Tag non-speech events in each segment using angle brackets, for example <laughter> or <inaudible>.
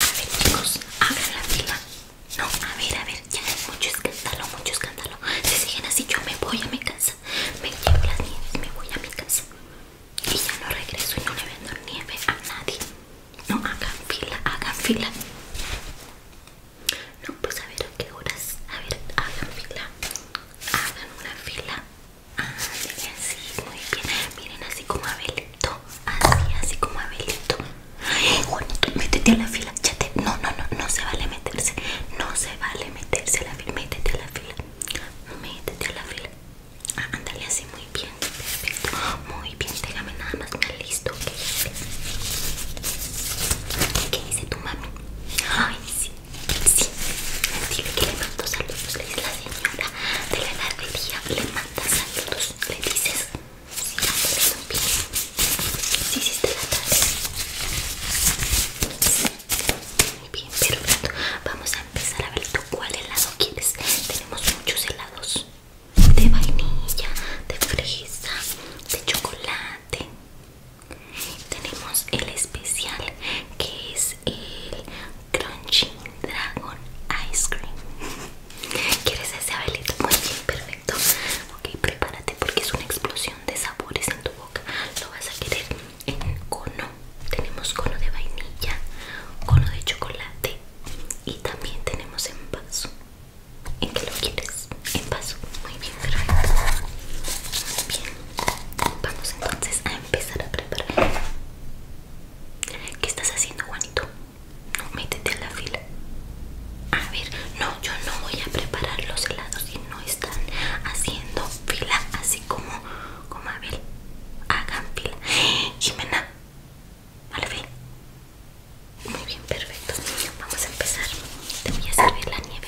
A ver chicos, hagan la fila No, a ver, a ver, ya hay mucho escándalo, mucho escándalo Si siguen así yo me voy a mi casa Me llevo las nieves, me voy a mi casa Y ya no regreso y no le vendo nieve a nadie No, hagan fila, hagan fila No, pues a ver a qué horas A ver, hagan fila Hagan una fila así, ah, muy bien Miren así como Abelito así, así como Abelito. Ay, Juanito, métete a la fila. No, no, no, no se vale meterse. No se vale meterse a la fila. Métete a la fila. Métete a la fila. Ah, ándale así, muy bien. Perfecto. Muy bien, déjame nada más. Me listo. ¿Qué dice tu mami? Ay, sí, sí. Dile que le mando saludos. Le dice la señora de la día, le mandas saludos, le dices si sí, sí, está la tarde. Muy bien, pronto, Vamos a empezar a ver tú cuál helado quieres. Tenemos muchos helados de vainilla, de fresa, de chocolate. Tenemos el especial que es el Crunchy Dragon Ice Cream. <laughs> ¿Quieres ese abelito? Muy bien, perfecto. Ok, prepárate porque es una explosión de sabores en tu boca. Lo vas a querer en cono. Tenemos cono de vainilla, cono de chocolate y también tenemos en ¿En qué lo quieres? En Muy bien, perfecto. Muy bien. Vamos entonces a empezar a preparar. ¿Qué estás haciendo, Juanito? No, métete a la fila. A ver, no, yo no voy a preparar los helados Si no están haciendo fila, así como, como ver. Hagan fila. Jimena, <gasps> a Muy bien, perfecto. Vamos a empezar. Te voy a servir la nieve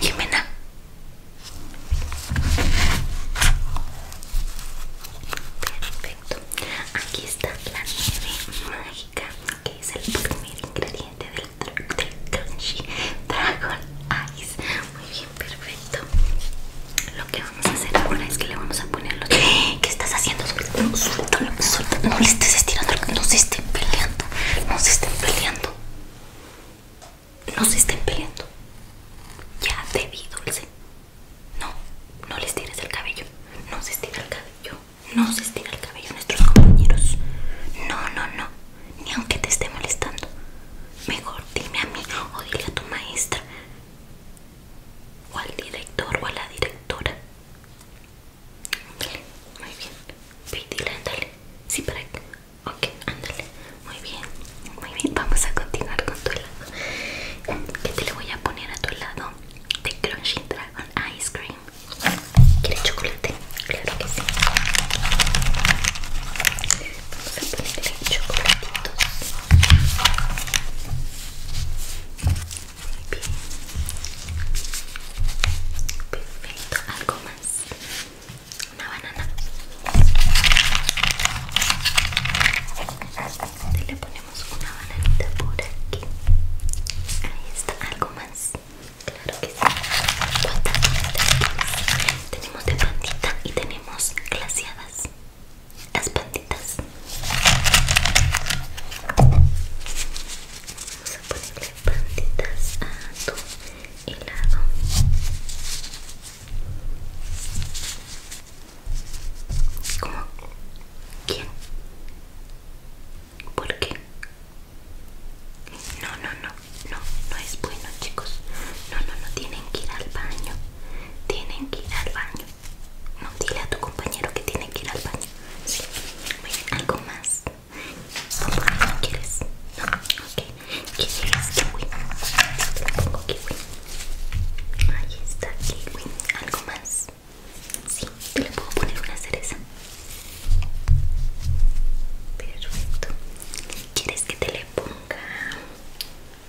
Jimena. Perfecto. Aquí está la nieve mágica, que es el primer ingrediente del, crunchy dragon ice. Muy bien, perfecto. Lo que vamos a hacer ahora es que le vamos a poner ¿Qué estás haciendo? Suéltalo, suéltalo, No le estés estirando, no se estén peleando. No se estén peleando. No se estén peleando. Ya te dulce. No, no le estires el cabello. No se estira el cabello. No se estira el cabello nuestros compañeros. No, no, no. Ni aunque te esté molestando. Mejor dime a mí o dile a tu maestra o al director o a la directora. muy bien. Pídile, ándale. Sí, para acá. Ok, ándale. Muy bien, muy bien. Vamos a continuar con tu helado. ¿Qué te le voy a poner a tu lado? De Crunchy Dragon Ice Cream. ¿Quieres chocolate? Claro que sí. Vamos a ponerle chocolatitos. Perfecto, algo más. Una banana. Le ponemos una bananita por aquí. Ahí está, algo más. Claro que sí. tenemos? de plantita y tenemos glaseadas las panditas Vamos a ponerle panditas a tu helado. ¿Cómo? ¿Quién? ¿Por qué? No, no, no, no, no es bueno, chicos. No, no, no tienen que ir al baño tienen que ir al baño. No, dile a tu compañero que tienen que ir al baño. Sí. algo más. no quieres? No, ok. ¿Quieres kiwi? pongo kiwi. Ahí está kiwi. ¿Algo más? Sí, te le puedo poner una cereza. Perfecto. ¿Quieres que te le ponga acá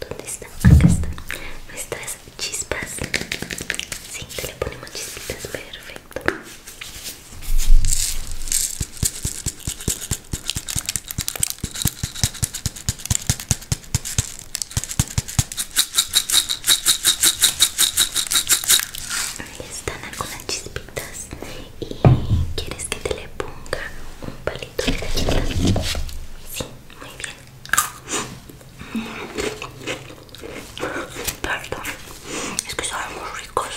¿Dónde está? Acá están nuestras chispas Sí, te le ponemos chispitas, perfecto Ahí están algunas chispitas ¿Y quieres que te le ponga un palito de galleta? Sí, muy bien. Perdón, es que son muy ricos.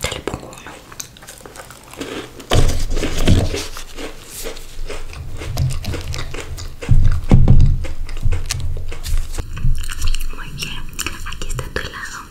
Te le pongo uno. Muy bien, aquí está tu helado.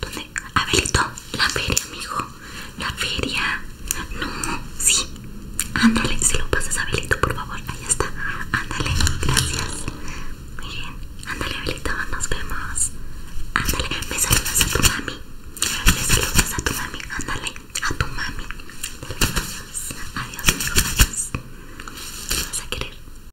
¿Dónde? Abelito, la feria, amigo. La feria. No, sí. Ándale, si lo pasas Abelito, por favor. Ahí está. Ándale, gracias. Miren. Ándale, Abelito, nos vemos. Ándale, me saludas a tu mami. Me saludas a tu mami. Ándale, a tu mami. Adiós, amigo, Adiós. ¿Qué vas a querer?